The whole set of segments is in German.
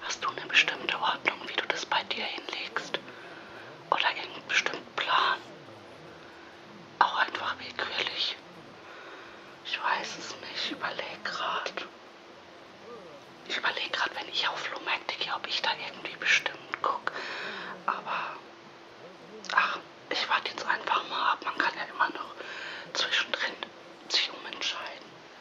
Hast du eine bestimmte Ordnung, wie du das bei dir hinlegst? Oder irgendeinen bestimmten Plan? Auch einfach willkürlich. Ich weiß es nicht, ich überleg grad. Ich überlege gerade, wenn ich auf Flohmärkte gehe, ob ich da irgendwie bestimmt gucke. Aber, ach, ich warte jetzt einfach mal ab. Man kann ja immer noch zwischendrin sich umentscheiden.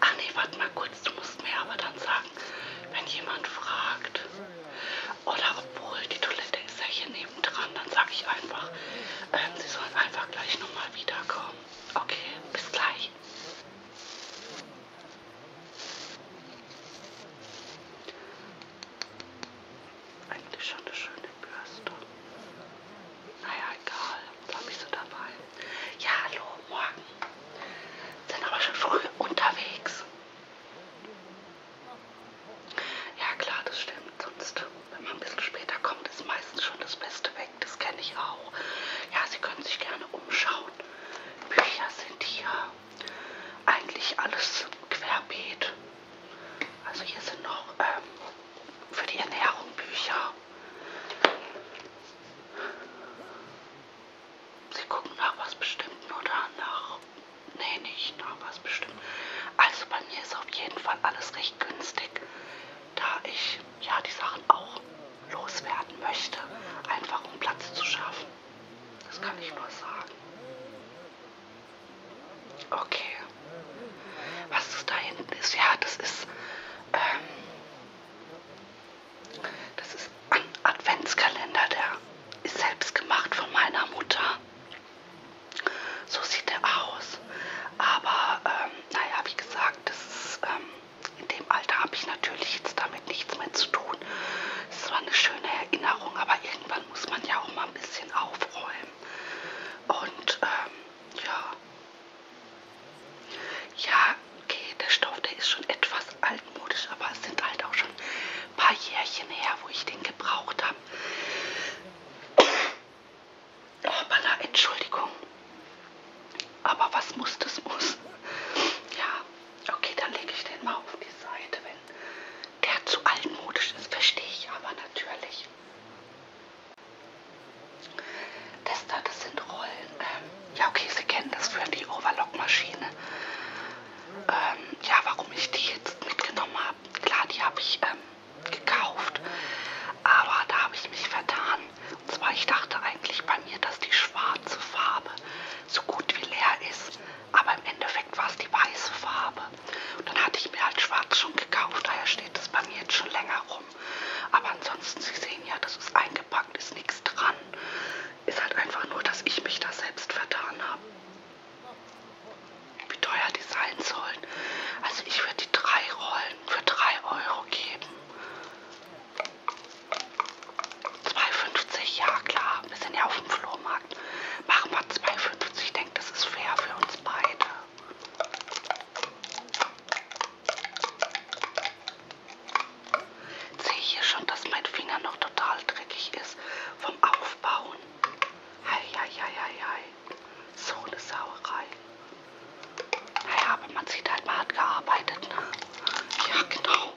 Ach nee, warte mal kurz, du musst mir aber dann sagen, wenn jemand fragt, oder obwohl die Toilette ist ja hier nebendran, dann sage ich einfach, ähm, sie sollen einfach gleich nochmal wiederkommen. Okay, bis gleich. Eigentlich schon eine schöne Bürste. Naja, egal war mich so dabei. Ja, hallo, morgen. Sind aber schon früh unterwegs. Ja, klar, das stimmt. Sonst, wenn man ein bisschen später kommt, ist meistens schon das Beste weg. Das kenne ich auch. Ja, Sie können sich gerne umschauen. Bücher sind hier eigentlich alles querbeet. Also hier sind noch ähm, für die Ernährung Bücher. Sie gucken nach was Bestimmten oder nach. Nee, nicht nach was Bestimmten. Also bei mir ist auf jeden Fall alles recht günstig, da ich ja die Sachen auch loswerden möchte, einfach um Platz zu schaffen. Das kann ich nur sagen. Okay. Was das da hinten ist, ja, das ist ähm, das ist ein Adventskalender, der ist selbst gemacht von meiner Mutter. So sieht er aus. Aber ähm, naja, wie gesagt, das ist, ähm, in dem Alter habe ich natürlich jetzt damit nichts mehr zu tun. Es war eine schöne Erinnerung, aber irgendwann muss man ja auch mal ein bisschen aufräumen. Und ähm, ja, ja, okay, der Stoff, der ist schon etwas altmodisch, aber es sind halt auch schon ein paar Jährchen her, wo ich den gebraucht habe. Hoppala, Entschuldigung. Aber was muss, das muss. Ja, okay, dann lege ich den mal auf die Seite, wenn der zu altmodisch ist, verstehe ich aber natürlich. Das da, das sind Rollen. Ähm, ja, okay, Sie kennen das für die Overlock-Maschine. Ähm, ja, warum ich die jetzt mitgenommen habe. Klar, die habe ich ähm, gekauft, aber da habe ich mich vertan. Und zwar, ich dachte eigentlich bei mir, dass die schwarze Farbe so gut wie leer ist, aber im Endeffekt war es die weiße Farbe. Und dann hatte ich mir halt schwarz schon gekauft, daher steht es bei mir jetzt schon länger rum. Aber ansonsten, Sie sehen ja, das ist eingepackt, ist nichts dran ist halt einfach nur, dass ich mich da selbst vertan habe. Wie teuer die sein sollen. Also ich würde die drei Rollen für 3 Euro geben. 2,50, ja klar, wir sind ja auf dem Flohmarkt. Machen wir 2,50, ich denke, das ist fair für uns beide. Jetzt sehe ich hier schon, dass mein Finger noch total dreckig ist vom Aufbauen. Hei, hei, hei, hei, hei. So eine Sauerei. Naja, aber man sieht halt, man hat gearbeitet, ne? Ja, genau.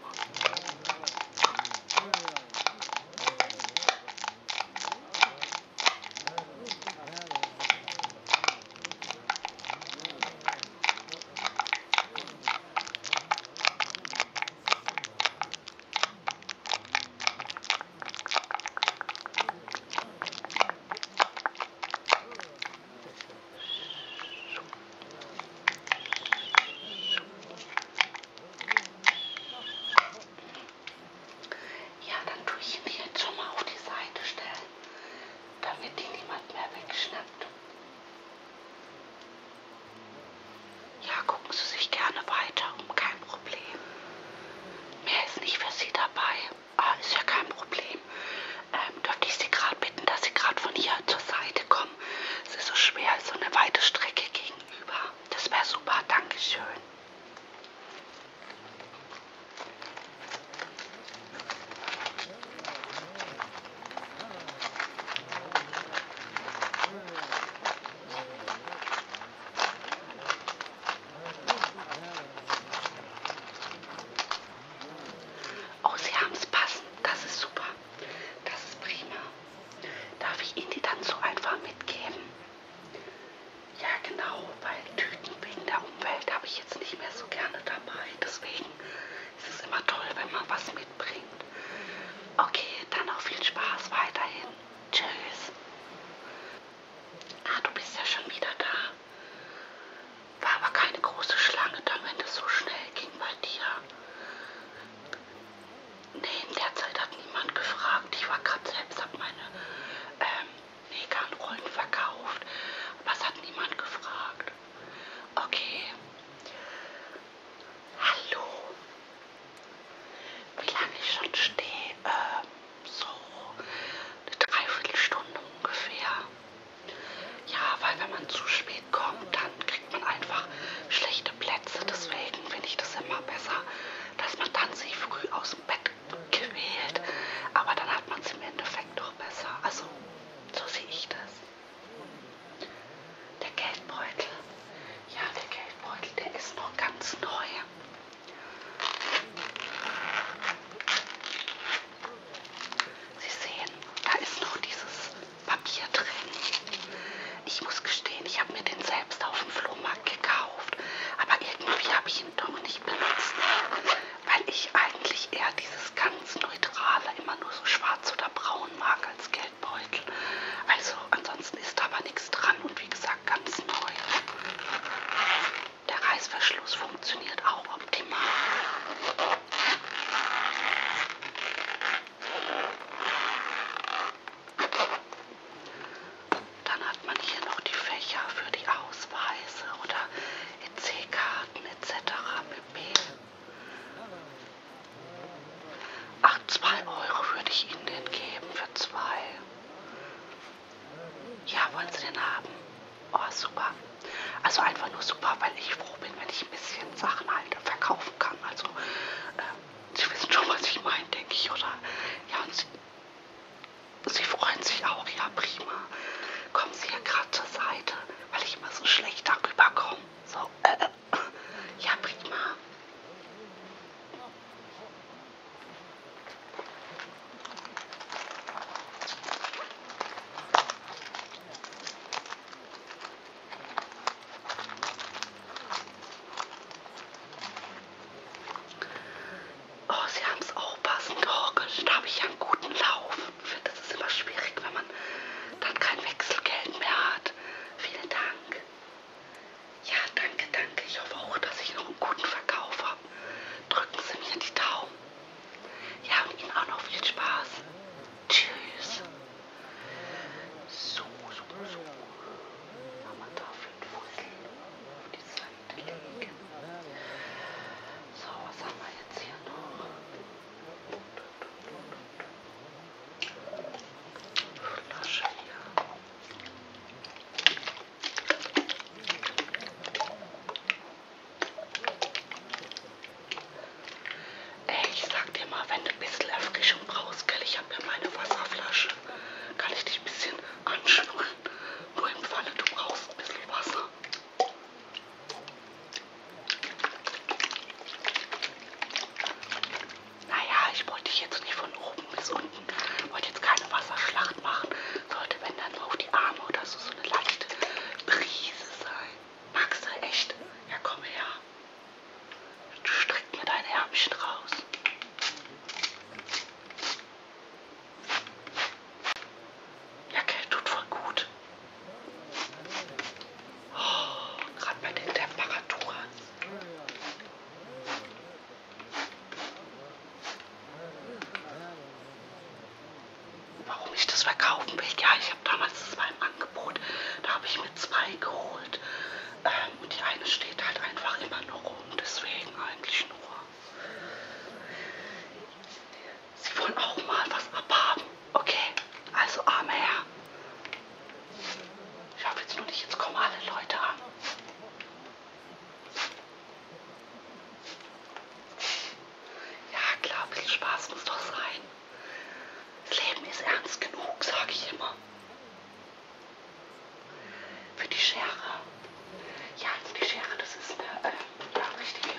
Ja, dann tue ich ihn jetzt schon mal auf die Seite stellen, damit die niemand mehr wegschnappt. Ja, gucken Sie sich gerne weiter um, kein Problem. Mehr ist nicht für Sie dabei. Ah, ist ja kein Problem. Ähm, dürfte ich Sie gerade bitten, dass Sie gerade von hier zur Seite kommen? Es ist so schwer, so eine weite Strecke gegenüber. Das wäre super, Dankeschön. Oh, Sie haben es passend. Das ist super. Das ist prima. Darf ich Ihnen die dann so einfach mitgeben? Ja, genau, weil Tüten wegen der Umwelt habe ich jetzt nicht mehr so gerne dabei. Deswegen es ist immer toll, wenn man was mitbringt. Okay, dann auch viel Spaß weiterhin. Tschüss. Ah, du bist ja schon wieder da. War aber keine große Schlange da, wenn das so schnell ging bei dir. Nee, in der Zeit hat niemand gefragt. Ich war gerade selbst, hab meine ähm, Negan-Rollen verkauft. Aber es hat niemand gefragt. Okay. Hallo. Wie lange ich schon stehe? Äh, so eine Dreiviertelstunde ungefähr. Ja, weil wenn man zu spät kommt, dann kriegt man einfach schlechte Plätze. Deswegen finde ich das immer besser, dass man dann sich früh aus dem Bett gewählt. Aber dann hat man es im Endeffekt doch besser. Also, so sehe ich das. Der Geldbeutel, ja, der Geldbeutel, der ist noch ganz neu. Sie sehen, da ist noch dieses Papier drin. Ich muss gestehen, ich habe mir den selbst auf dem Flohmarkt gekauft, aber irgendwie habe ich ihn doch nicht benutzt, weil ich eigentlich eher dieses ganz neutrale, immer nur so schwarz schwarz oder braun mag als Geldbeutel. Also ansonsten ist aber nichts dran und wie gesagt ganz neu. Der Reißverschluss funktioniert auch optimal. Dann hat man hier noch die Fächer für die Ausweise oder EC-Karten etc. pp. Ach, zwei Euro würde ich Ihnen denn geben für zwei. Ja, wollen Sie den haben? Oh, super. Also einfach nur super, weil ich froh bin, wenn ich ein bisschen Sachen halt verkaufen kann. Also, äh, Sie wissen schon, was ich meine, denke ich, oder? Ja, und Sie, Sie freuen sich auch. Ja, prima. Kommen Sie ja gerade zur Seite, weil ich immer so schlecht darüber komme. So, äh, äh, ja, prima. Oh, Sie haben es auch passend gehorcht. Da habe ich ja einen guten Lauf. Freundschaften finde, das ist immer schwierig, wenn man dann kein Wechselgeld mehr hat. Vielen Dank. Ja, danke, danke. Ich hoffe auch, dass ich noch einen guten Verkauf habe. Drücken Sie mir die Daumen. Ja, und Ihnen auch noch viel Spaß. Tschüss. So, so, so. Mama darf den Fussel auf die Seite legen. So, was haben wir jetzt hier noch? Ey, ich sag dir mal, wenn du ein bisschen Erfrischung brauchst, gell, ich habe ja meine Wasserflasche, kann ich dich ein bisschen anschnurren. Nur im Falle, du brauchst ein bisschen Wasser. Naja, ich wollte jetzt nicht von oben bis unten, wollte jetzt keine Wasserschlacht machen. Sollte, wenn dann nur auf die Arme oder so, so eine leichte Brise sein. Magst du echt? Ja, komm her. Du streck mir deine Ärmchen raus. Ja, okay, tut voll gut. Oh, Gerade bei den Temperaturen. Warum ich das verkaufen will? Ja, ich habe damals, das war im Angebot, da habe ich mir zwei geholt. Ähm, und die eine steht halt einfach immer noch rum, deswegen eigentlich nur. Sie wollen auch mal was abhaben. Okay, also armer Herr. Ich hoffe jetzt nur nicht, jetzt kommen alle Leute an. Ja klar, ein bisschen Spaß muss doch sein. Das Leben ist ernst genug, sage ich immer. Für die Schere. Ja, also die Schere, das ist eine äh, ja, richtige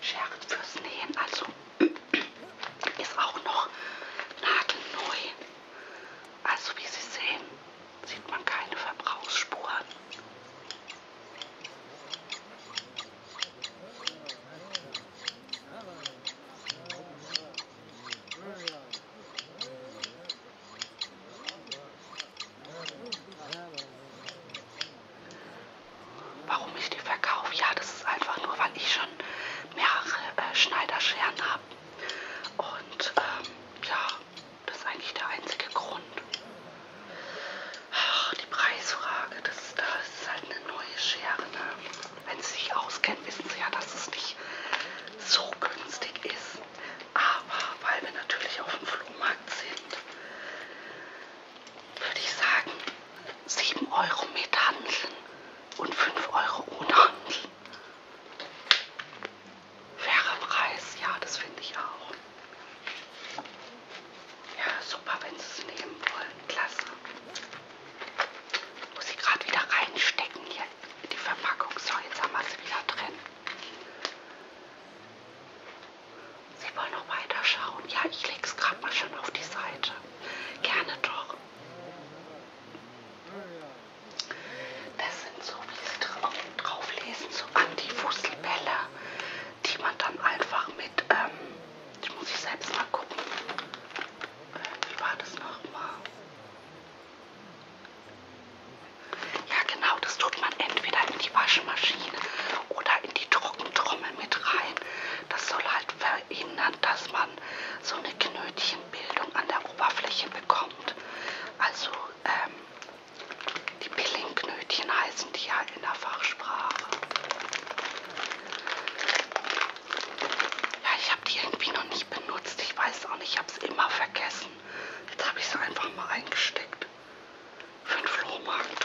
Schere fürs Nähen. Also ist auch noch nagelneu. Also wie Sie sehen, sieht man keine Verbrauchsspuren. Warum ich die verkaufe? Ja, das ist einfach nur, weil ich schon mehrere äh, Schneiderscheren habe. Und ähm, ja, das ist eigentlich der einzige Grund. Ach, die Preisfrage, das, das ist halt eine neue Schere. Ne? Wenn Sie sich auskennen, wissen Sie ja, dass es nicht so günstig ist. Aber weil wir natürlich auf dem Flohmarkt sind, würde ich sagen, 7 Euro mit handeln und 5 Euro ohne Handel. Fairer Preis, ja, das finde ich auch. Ja, super, wenn Sie es nehmen wollen. Klasse. Muss ich gerade wieder reinstecken hier in die Verpackung. So, jetzt haben wir sie wieder drin. Sie wollen noch weiter schauen. Ja, ich lege es gerade mal schon auf die Seite. Gerne doch. Das sind so, wie sie drauflesen, so Antifuselbälle, die man dann einfach mit, ähm, ich muss ich selbst mal gucken, äh, wie war das nochmal? Ja genau, das tut man entweder in die Waschmaschine oder in die Trockentrommel mit rein. Das soll halt verhindern, dass man man so eine Knötchenbildung an der Oberfläche bekommt. Also ähm, die Pillingknötchen heißen die ja in der Fachsprache. Ja, ich habe die irgendwie noch nicht benutzt. Ich weiß auch nicht, ich habe es immer vergessen. Jetzt habe ich sie einfach mal eingesteckt. Für den Flohmarkt.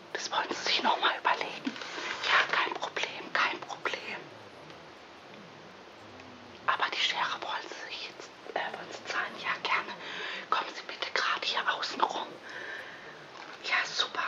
Das wollen Sie sich nochmal überlegen. Ja, kein Problem, kein Problem. Aber die Schere wollen Sie sich jetzt äh, wollen Sie zahlen? Ja, gerne. Kommen Sie bitte gerade hier außen rum. Ja, super.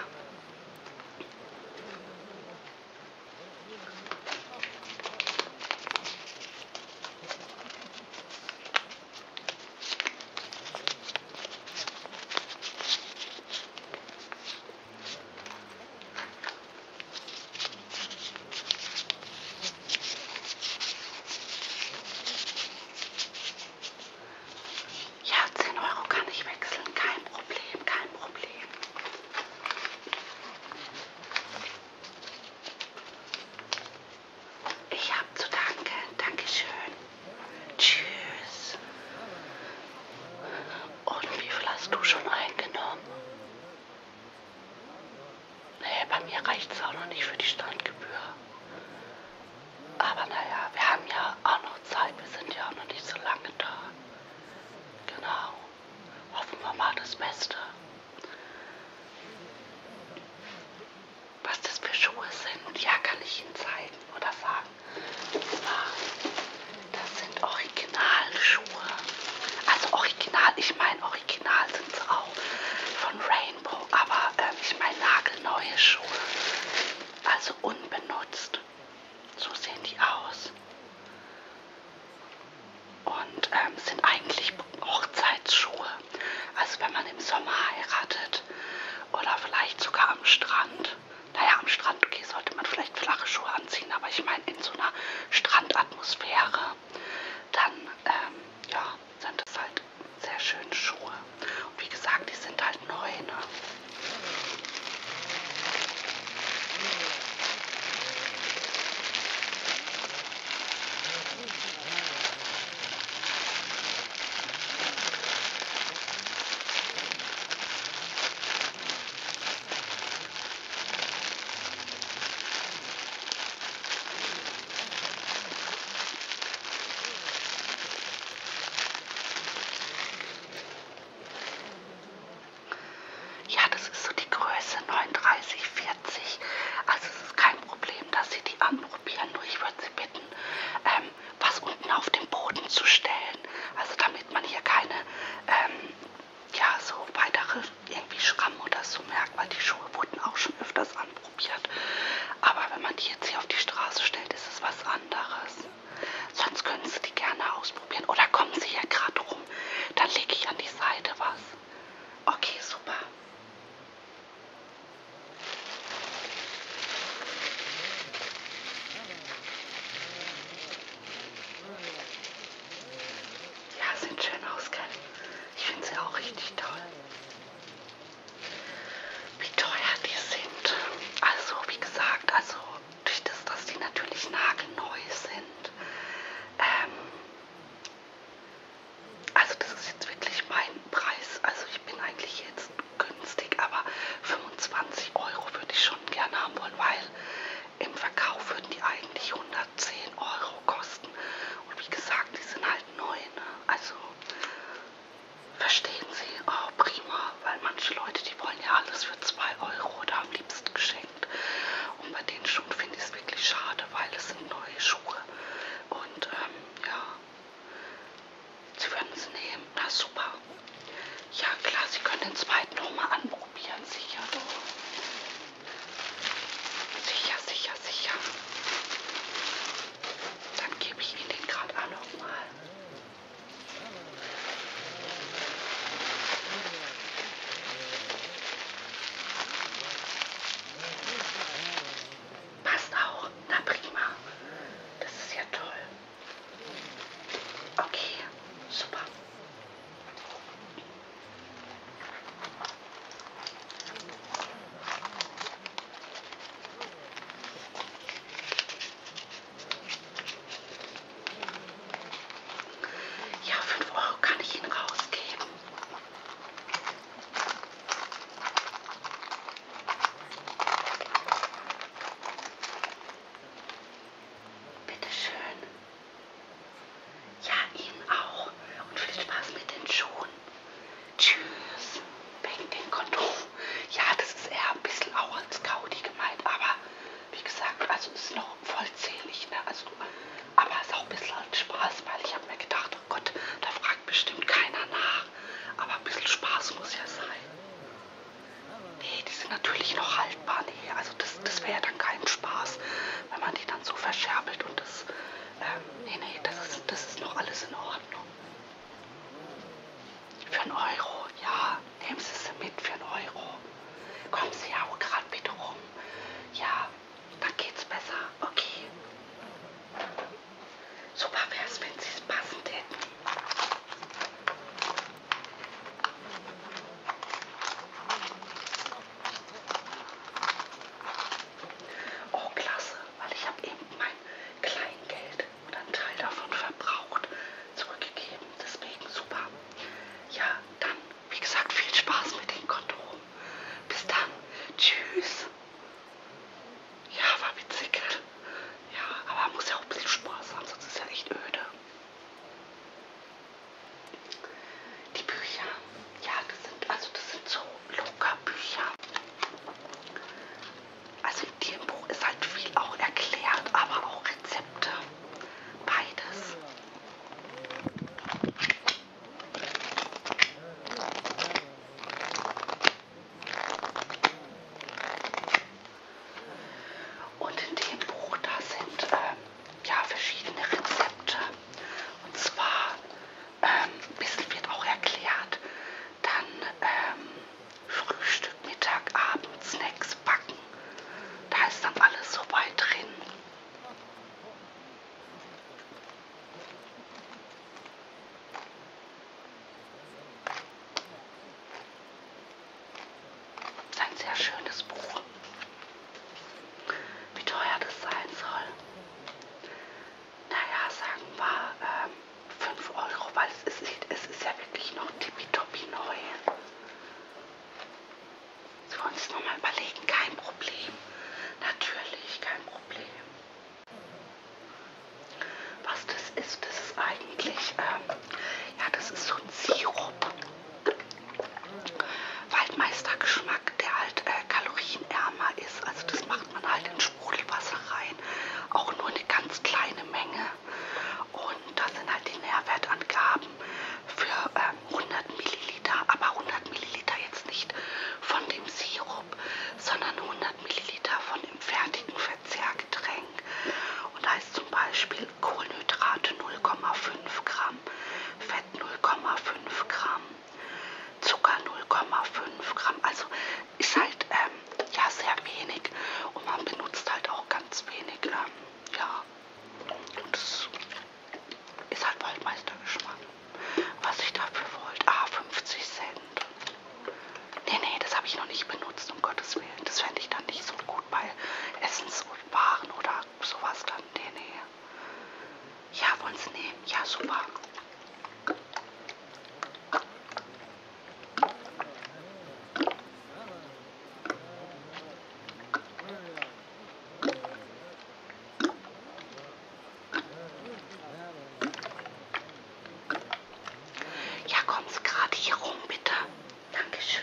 Ja, zehn Euro kann ich wechseln, kein Problem, kein Problem. Ich habe zu danken, Dankeschön. Tschüss. Und wie viel hast du schon eingenommen? Naja, bei mir reicht es auch noch nicht für die Standgebühr. Aber naja, wir haben ja auch noch Zeit. Wir sind ja auch noch nicht so lange da. Genau. Hoffen wir mal das Beste. Was das für Schuhe sind, ja, kann ich Ihnen zeigen oder sagen. Das sind Originalschuhe. Also original, ich meine original sind sie auch von Rainbow, aber äh, ich meine nagelneue Schuhe. Also unbenutzt. So sehen die aus. Und ähm, sind eigentlich Hochzeitsschuhe. Also wenn man im Sommer heiratet oder vielleicht sogar am Strand naja, am Strand, okay, sollte man vielleicht flache Schuhe anziehen, aber ich meine, in so einer Strandatmosphäre, dann, ähm, ja, sind das halt sehr schöne Schuhe. Und wie gesagt, die sind halt neu, ne? Ja, das ist so die Größe 39, 40. Also es ist kein Problem, dass Sie die anprobieren. Nur ich würde Sie bitten, ähm, was unten auf den Boden zu stellen. Also damit man hier keine, ähm, ja, so weitere irgendwie Schrammen oder so merkt, weil die Schuhe wurden auch schon öfters anprobiert. Aber wenn man die jetzt hier auf die Straße stellt, ist es was anderes. Sonst können Sie die gerne ausprobieren. Oder kommen Sie hier gerade rum, dann lege ich an die Seite was. Okay, super. Ja, sind schön ausgegangen. Ich finde sie auch richtig toll. Wie teuer die sind. Also, wie gesagt, also durch das, dass die natürlich nagelneu sind. Ähm, also das ist jetzt wirklich mein Preis. Also ich bin eigentlich jetzt günstig, aber 25 Euro würde ich schon gerne haben wollen, weil im Verkauf würden die eigentlich 110 Euro kosten. Und wie gesagt, die sind halt neu. Ne? Also verstehen Sie, oh, prima, weil manche Leute, die wollen ja alles für 2 Euro oder am liebsten geschenkt. Und bei den Schuhen finde ich es wirklich schade, weil es sind neue Schuhe. Und ähm, ja, Sie würden es nehmen. Na super. Ja klar, Sie können den zweiten nochmal anprobieren. Sicher doch. Sicher, sicher, sicher. Dann gebe ich Ihnen den gerade auch nochmal. Passt auch. Na prima. Das ist ja toll. Okay, super. Ja, 5 Euro kann ich Ihnen rausgeben. Bitte schön. Ja, Ihnen auch. Und viel Spaß mit den Schuhen. Tschüss. Wegen den Kondom. Ja, das ist eher ein bisschen auch als Gaudi gemeint, aber wie gesagt, also ist noch vollzählig, ne? Also, aber es ist auch ein bisschen als Spaß, weil ich habe mir gedacht, oh Gott, da fragt bestimmt keiner nach. Aber ein bisschen Spaß muss ja sein. Nee, die sind natürlich noch haltbar. Nee, also das, das wäre ja dann kein Spaß, wenn man die dann so verscherbelt und das. Ähm, nee, nee, das ist, das ist noch alles in Ordnung. Für einen Euro, ja. Nehmen Sie sie mit für einen Euro. Kommen Sie ja auch gerade bitte rum. Ja, dann geht's besser. Okay. Super wär's, wenn Sie es passend hätten. Oh, klasse, weil ich habe eben mein Kleingeld oder einen Teil davon verbraucht zurückgegeben. Deswegen super. Ja, dann, wie gesagt, viel Spaß mit den Kondomen. Bis dann. Tschüss. Ja, war witzig. Ja, aber muss ja auch ein bisschen Spaß haben, sonst ist ja echt öde. Die Bücher, ja, das sind, also das sind so locker Bücher. Also in dem Buch ist halt viel auch erklärt, aber auch Rezepte. Beides. Und in dem Buch, da sind ähm, ja verschiedene Rezepte. Und zwar, ähm, ein bisschen wird auch erklärt, dann ähm, Frühstück, Mittag, Abend, Snacks, Backen. Da ist dann alles so weit drin. Das ist ein sehr schönes Buch. Wie teuer das sein soll. Naja, sagen wir ähm, 5 Euro, weil es ist, es ist ja wirklich noch tippitoppi neu. Sollen wir uns nochmal überlegen, kein Problem. Natürlich, kein Problem. Was das ist, das ist eigentlich ähm, ja, das ist so ein Sirup. Waldmeistergeschmack, der halt äh, kalorienärmer ist. Also das macht man halt in Sprudelwasser rein. Auch nur eine ganz kleine Menge. Und da sind halt die Nährwertangaben für ähm, 100 Milliliter. Aber 100 Milliliter jetzt nicht von dem Sirup, sondern 100 Milliliter von dem fertigen Verzehrgetränk. Und da ist zum Beispiel Kohlenhydrate 0,5 Gramm, Fett 0,5 Gramm, Zucker 0,5 Gramm. Also ist halt ähm, ja sehr wenig und man benutzt halt auch ganz wenig. Ähm, ja, und das ist halt Waldmeistergeschmack, was ich dafür wollte. Ah, 50 Cent. Nee, nee, das habe ich noch nicht benutzt, um Gottes Willen empfehlen. Das fände ich dann nicht so gut bei Essenswaren oder sowas dann. Nee, nee. Ja, wollen Sie nehmen? Ja, super. Ja, kommen Sie gerade hier rum, bitte. Dankeschön.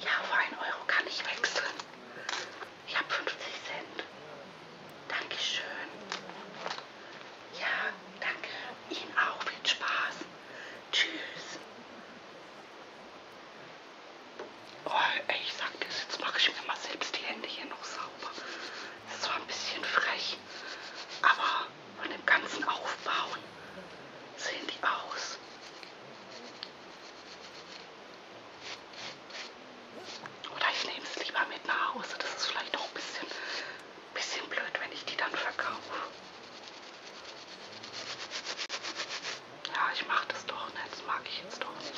Ja, für einen Euro kann ich wechseln. Ich habe 50 Cent. Dankeschön. Ja, danke. Ihnen auch viel Spaß. Tschüss. Oh, ey, ich sag das, jetzt mache ich mir mal selbst die Hände hier noch sauber. Das ist zwar ein bisschen frech, aber von dem ganzen Aufbauen sehen die aus. Oder ich nehme es lieber mit nach Hause. Das ist vielleicht auch ein bisschen, bisschen blöd, wenn ich die dann verkaufe. Ja, ich mache das doch nicht. Das mag ich Dienst aus.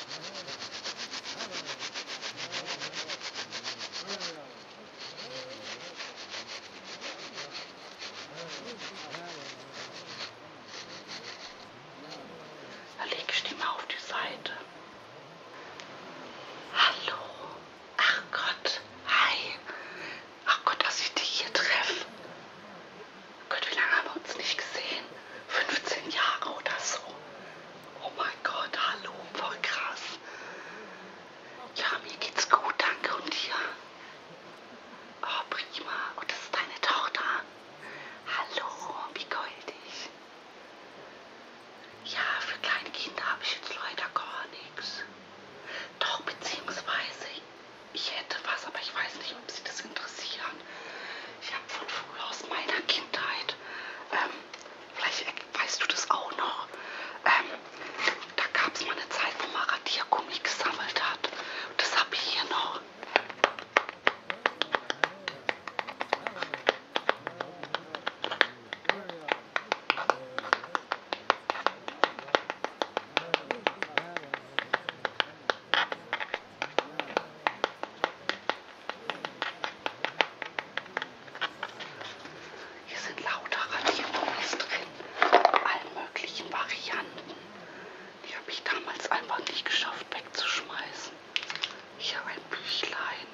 Da lege ich die mal auf die Seite. Hallo. Ach Gott. Hi. Ach Gott, dass ich dich hier treffe. Gott, wie lange haben wir uns nicht gesehen? 15 Jahre oder so. Oh mein Gott, hallo, voll krass. Ja, mir geht's gut, danke und dir. Oh, prima. Und das ist deine Tochter. Hallo, wie goldig. Ja, für kleine Kinder habe ich jetzt leider gar nichts. Doch, beziehungsweise, ich hätte was, aber ich weiß nicht, ob sie das interessieren. Ich habe von früher aus meiner Kindheit ähm, vielleicht weißt du das auch noch, ähm, da gab es mal eine Zeit, wo man Radiergummi gesammelt hat. Das habe ich hier noch. Hier sind lauter Radiergummis drin, allen möglichen Varianten. Die habe ich damals einfach nicht geschafft wegzuschmeißen. Hier ein Büchlein,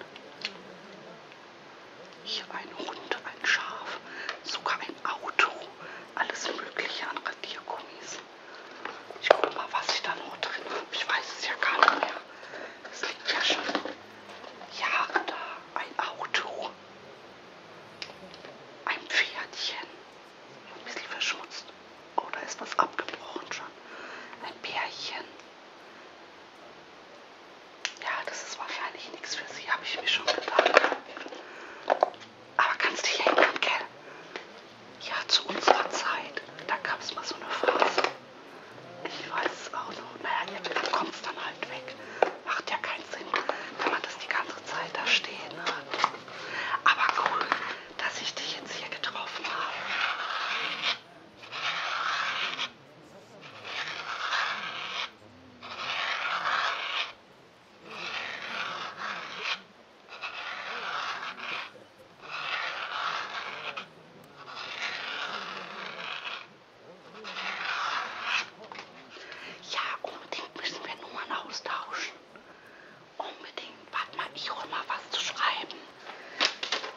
hier ein Hund, ein Schaf, sogar ein Auto, alles Mögliche an Radiergummis. Ich gucke mal, was ich da noch drin habe. Ich weiß es ja gar nicht mehr. Das liegt ja schon. Jahre da ein Auto, ein Pferdchen, ein bisschen verschmutzt. Oh, da ist was abgebrochen schon. Ein Bärchen. Ja, das ist wahrscheinlich nichts für sie, habe ich mir schon gedacht. Aber kannst dich erinnern, gell? Ja, zu unserer Zeit, da gab es mal so eine Phase. Ich weiß es auch noch. Naja, irgendwann kommt es dann halt weg. Macht ja keinen Sinn, wenn man das die ganze Zeit da stehen hat. Aber cool, dass ich dich jetzt hier getroffen habe. Ja, unbedingt müssen wir Nummern austauschen. Unbedingt. Warte mal, ich hol mal was zu schreiben.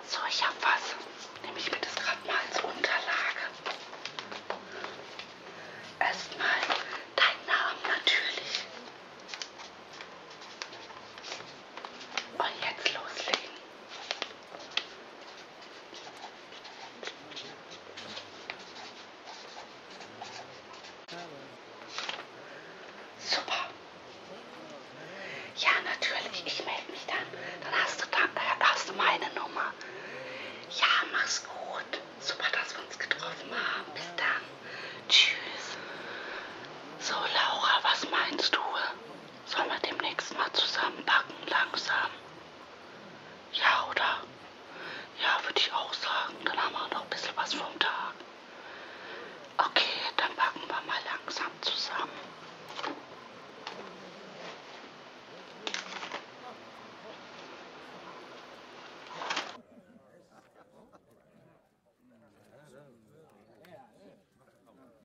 So, ich hab was. Nehme ich mir das gerade mal als Unterlage. Erstmal deinen Namen natürlich. Und jetzt loslegen. Super. Ja, natürlich. Ich melde mich dann. Dann hast du, dann, äh, hast du meine Nummer. Ja, mach's gut. Super, dass wir uns getroffen haben. Bis dann. Tschüss. So, Laura, was meinst du? Sollen wir demnächst mal zusammen backen, langsam? Ja, oder? Ja, würde ich auch sagen. Dann haben wir noch ein bisschen was vom Tag. Okay, dann backen wir mal langsam zusammen.